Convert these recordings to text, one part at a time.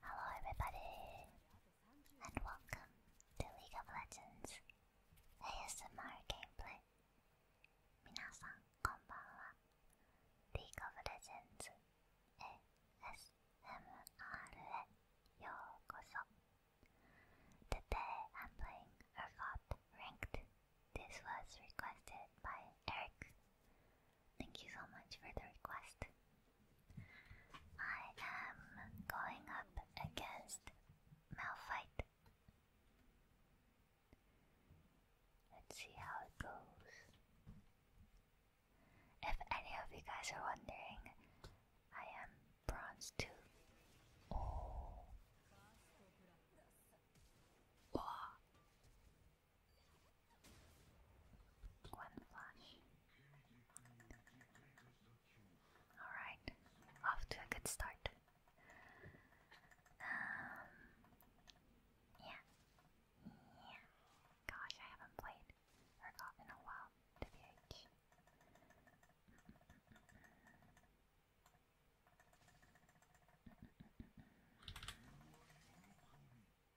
Hello everybody, and welcome to League of Legends ASMR Gameplay. Minasan konbanwa. League of Legends ASMR yokoso. Today I'm playing ERGOT Ranked. This was requested by Eric. Thank you so much for the request. I am going up against Malphite. Let's see how it goes. If any of you guys are wondering, I am bronze too. Oh. Wow. One flash. Alright, off to a good start. Um, yeah. Yeah. Gosh, I haven't played or in a while, WH.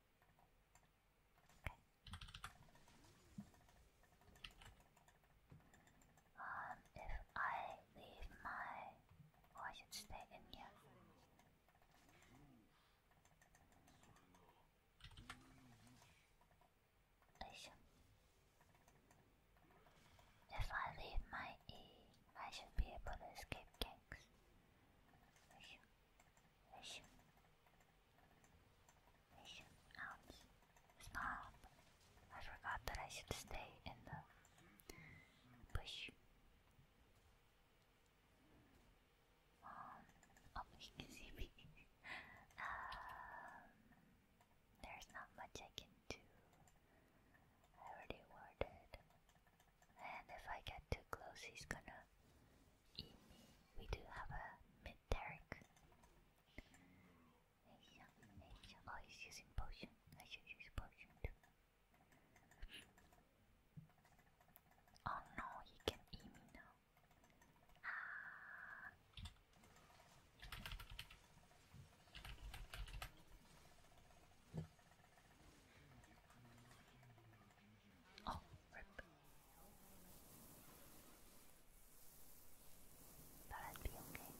Um, if I leave my, oh, should stay in here. If I leave my E, I should be able to escape gangs. Russian. Russian Alps. Stop! I forgot that I should stay in the bush. Um, oh, he can see um, there's not much I can do. I already ordered and if I get too close he's gonna eat me. We do have a mid Derek. Oh he's using potion. I should use potion too. Oh no, he can eat me now. Ah. Oh, rip. Thought I'd be okay.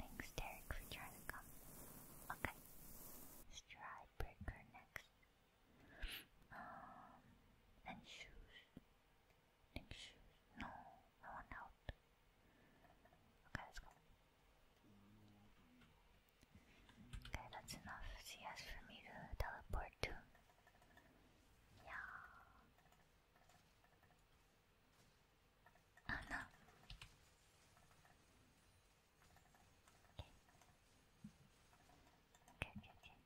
Thanks, Derek, for trying to come. Okay. Stridebreaker next. Um, and shoes. I shoes. No, I want out. Okay, let's go. Okay, that's enough. She asked for me to teleport too. Yeah. Oh no. Okay. Okay, okay, okay.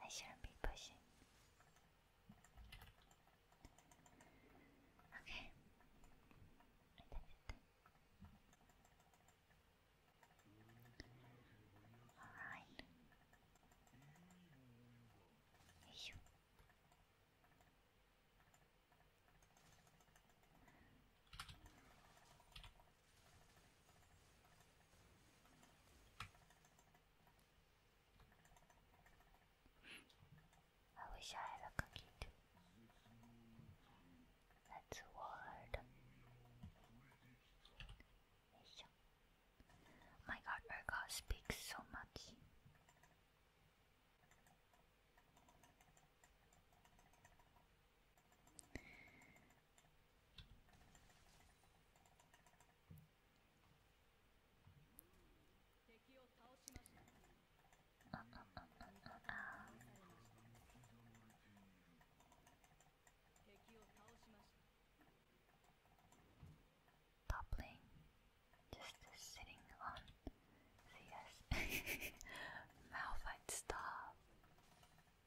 I shouldn't be pushing. Okay. Alright. You. I wish I had a cookie too. That's word. My god, Urga speaks so much. Uh, uh, just sitting on CS. Malphite stop.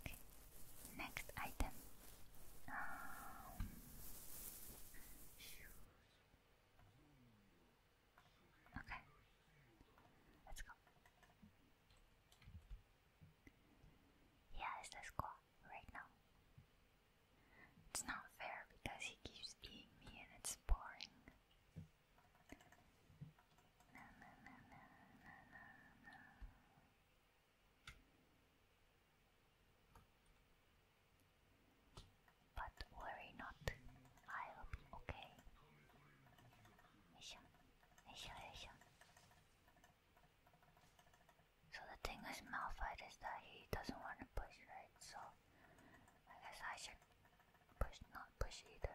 Okay, next item. Um, okay, let's go. Yeah, it's the squad right now. It's not fair because he keeps being me and it's boring. But worry not, I'll be okay. Isha, Isha, Isha. So the thing with Malphite is that he doesn't want to push, right? So I guess I should push, not push either.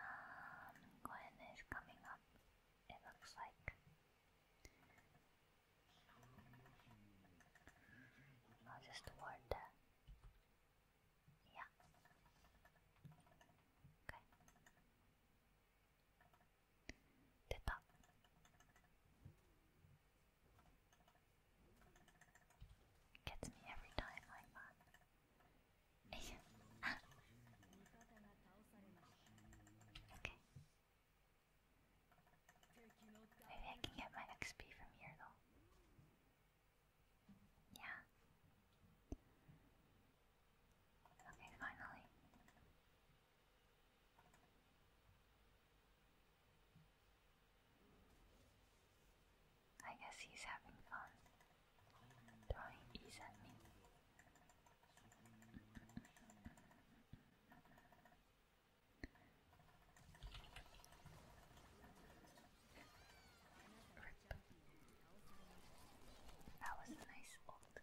Um, Gwen is coming up, it looks like. I'll oh, just ward Yeah. Okay. Dip up. Gets me every time like that okay. Maybe I can get my XP from here though. Yeah. Okay, finally. I guess he's having fun dying is at me. That was a nice old.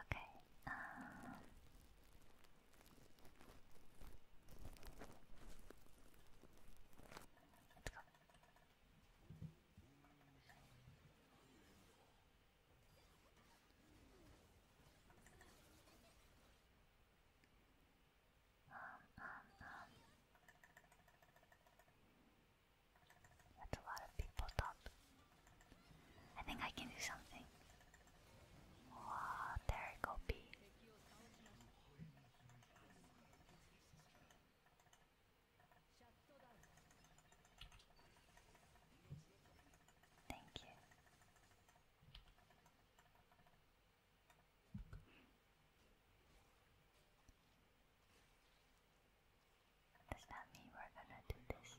Okay, um, Let's a lot of people talk. I think I can do something. Wow, there go B. Thank you. Does that mean we're gonna do this?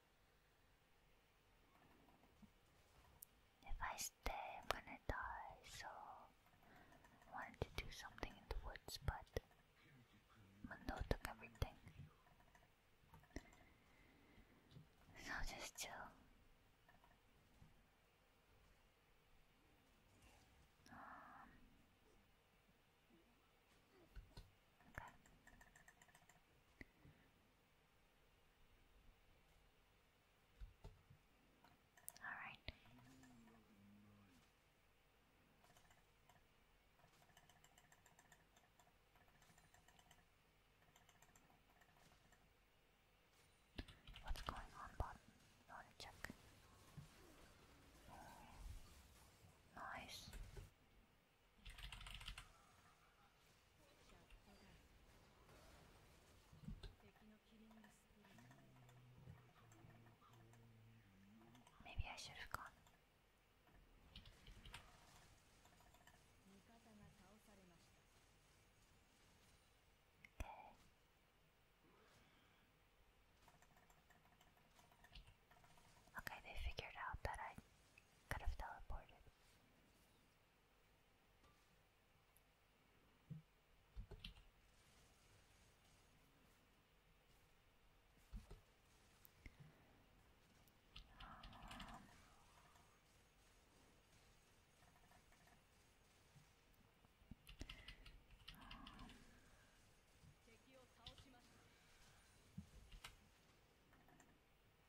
If I stay, I'm gonna die, so I wanted to do something in the woods, but Mundo took everything. So just chill. Um, all right. What's going on, bot? You want check? nice. Maybe I should have gone. Okay. they figured out that I could have teleported. Um, um,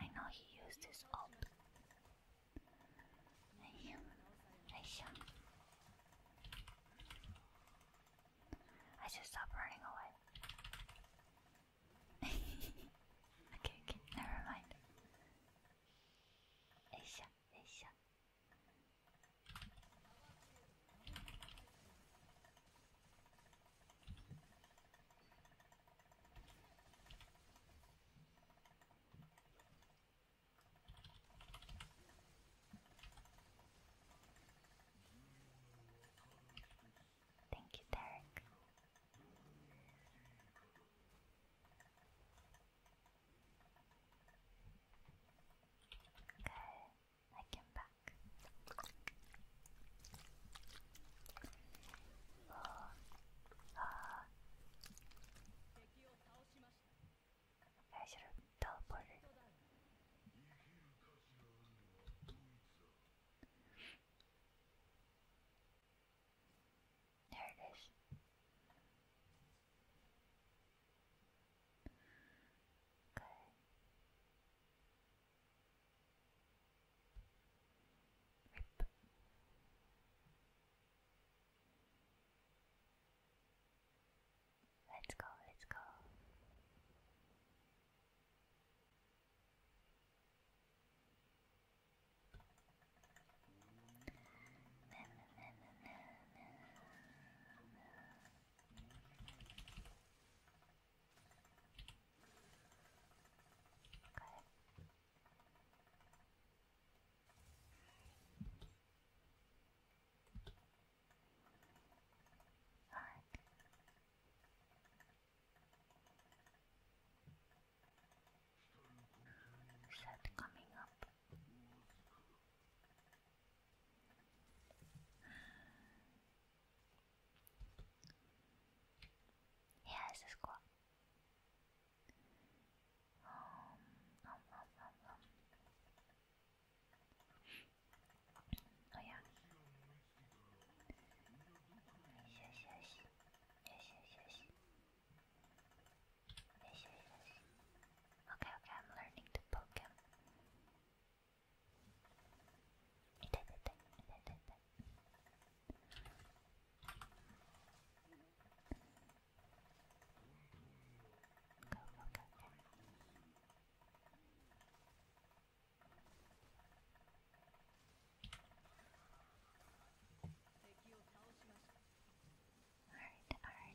I know he used his ult. Right here. I just stopped running away. okay, okay, never mind. Aisha, Aisha. Thank you, Derek. Okay, I came back. ああ大丈夫倒ボールなるです Okay. Rip. Let's go, let's go. Okay. All right. Set coming up. Yeah, it's a cool. Um, um, um, um, um. Oh yeah. Yes, yes, yes, yes, yes. Yes, yes, yes. Okay, okay, I'm learning to poke him. It, it, it, Go, go, go, go. Alright, alright.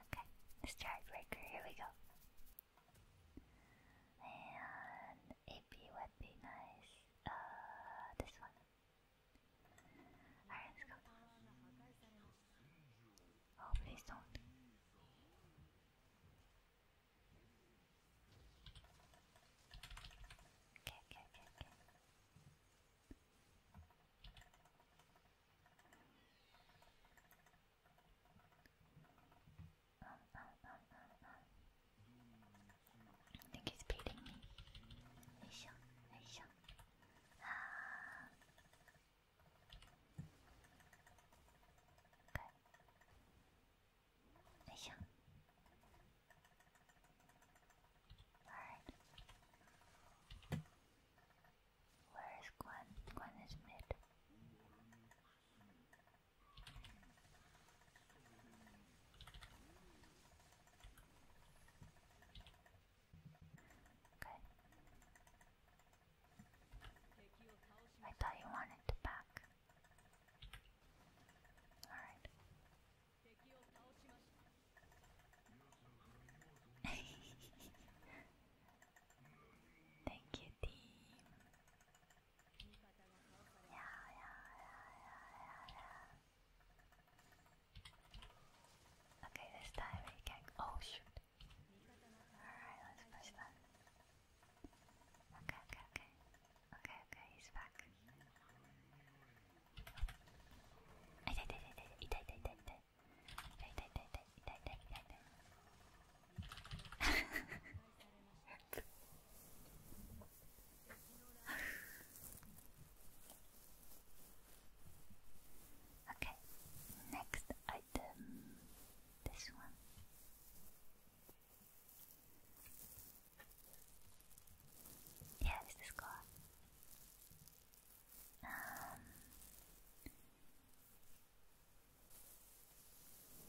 Okay, let's try breaker. Here we go. And AP would be nice. Uh, this one. Alright, let's go. Oh, please don't. Okay, okay, okay, okay. Um, um, um, I think he's beating me. Aisha, Aisha. Ah. Okay. Aisha. Alright. Where is Gwen? Gwen is mid. I thought you wanted back. Alright. Thank you, team. Yeah, yeah, yeah, yeah, yeah, Okay, this time we can. Oh shoot! Alright, let's push that. Okay, okay, okay. Okay, okay, he's back. I did, I did, I did, I did, I did, 痛い痛い痛い痛い痛い痛い痛い痛い Okay, next item, this one. Yeah, this is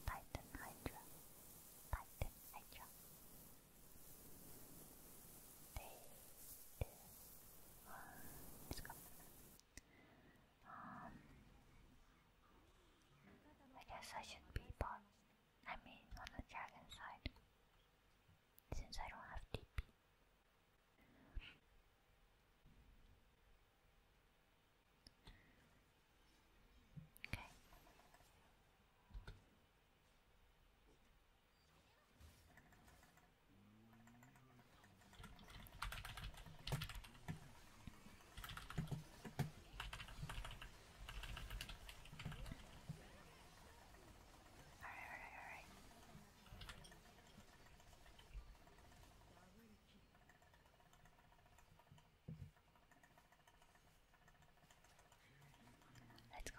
Titan Hydra, Titan Hydra. They do. Um, I guess I should be bot. I mean, on the dragon side, since I don't have TP. Okay. All right, all right, all right. Let's go.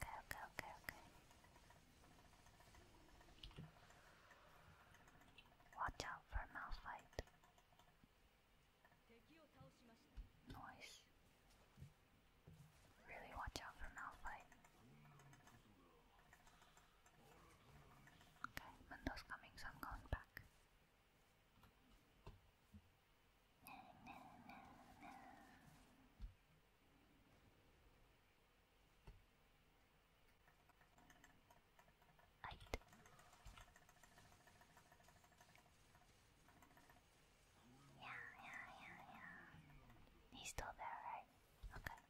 Go, go, go, go. Watch out for Malphite. Noise. Really watch out for Malphite. Okay, Mundo's coming, so i going back. Right. Yeah, yeah, yeah, yeah. He's still there, right? Okay.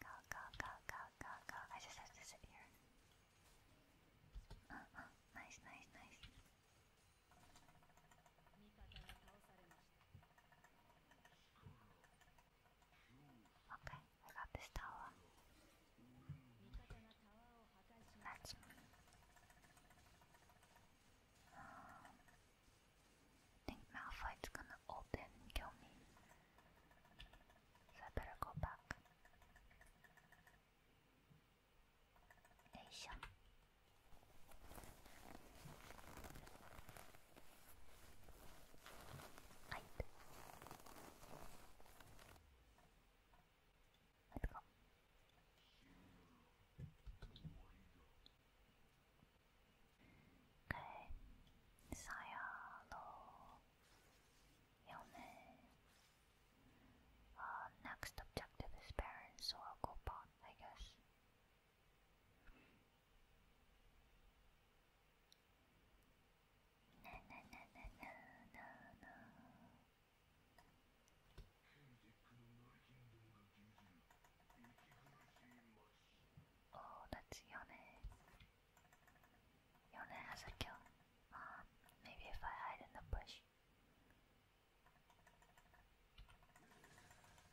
Go, go, go, go, go, go. I just have Uh, uh, nice, nice, nice. Okay, I got this tower. That's um, I think Malphite's gonna open in and kill me. So I better go back. Aisha. Let's go. Okay. Sayalo. next objective is parents, so I'll go pot, I guess. Na Oh, that's Yone. Yone has a kill. Uh, maybe if I hide in the bush.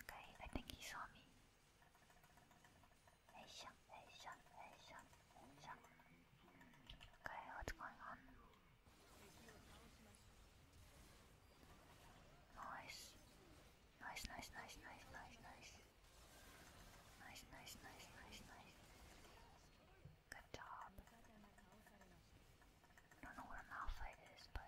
Okay, I think he saw me. Hey, shum, hey, shum, Okay, what's going on? Nice. Nice, nice, nice, nice, nice, nice. Nice, nice, nice, nice, nice. Good job. Don't know where Malphite is, but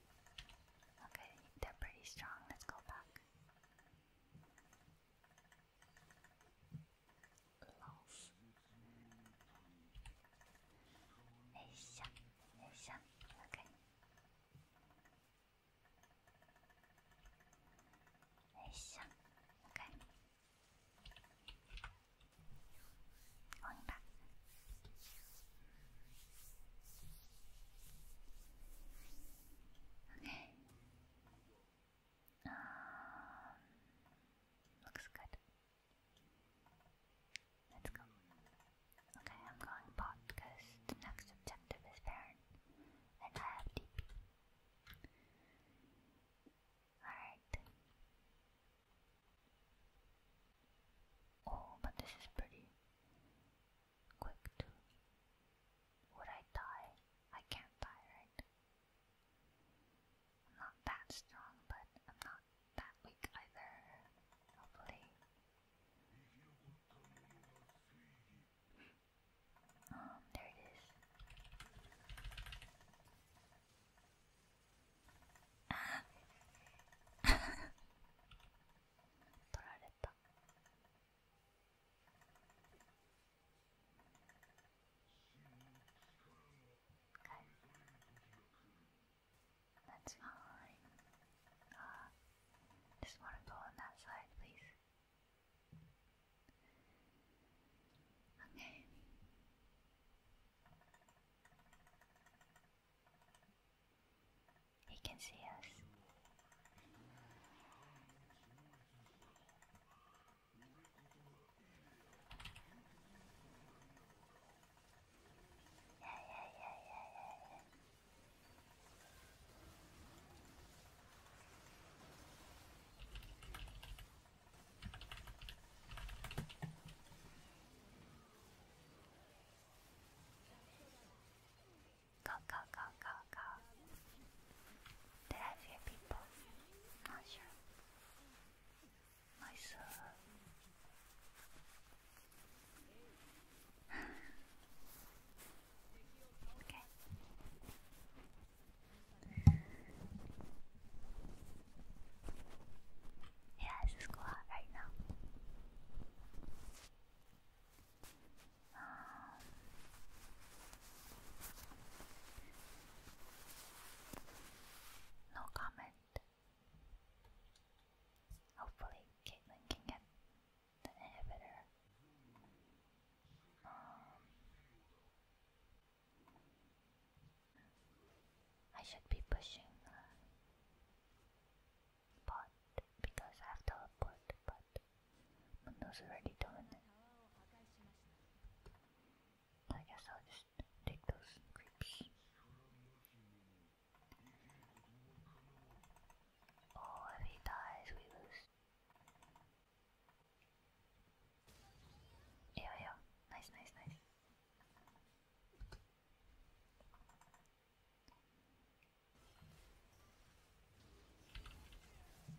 Okay, they're pretty strong. Let's go back. Loss. Asia. Asia. Okay. Asia. Okay. Going back. Okay. Um, looks good. Let's go. Okay, I'm going pot because the next objective is Baron. And I have DP. Alright. Oh, but this is pretty quick too. Would I die? I can't die, right? I'm not that strong, but I'm not that weak either. Hopefully. Um, there it is. 取られたはい That's fine. Uh, just want to go on that side, please. Okay. He can see us. Yeah, yeah, yeah, yeah, yeah, yeah. Go, go, go, go, go. people? I'm uh, okay. Yeah, it's just cool right now no comment. Hopefully, Caitlyn can get the inhibitor. Um, I should be pushing but because I have teleport, but Mundo's already doing it. I guess I'll just take those creeps. Oh, if he dies, we lose. Yo, yo, nice, nice, nice.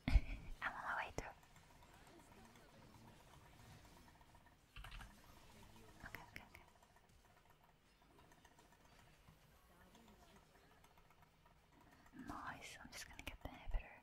I'm on my way through. Nice, I'm just gonna get the inhibitor.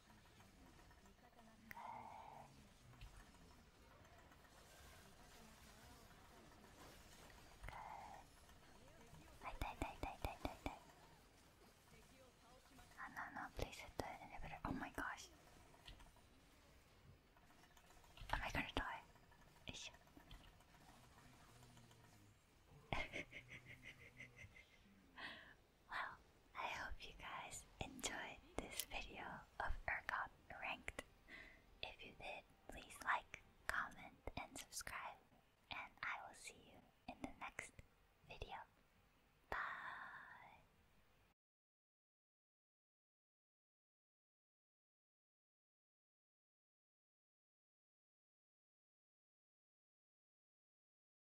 Oh no no, please hit the inhibitor. Oh my gosh. Am I gonna die? Well, I hope you guys enjoyed this video of ERCOT Ranked. If you did, please like, comment, and subscribe. And I will see you in the next video. Bye!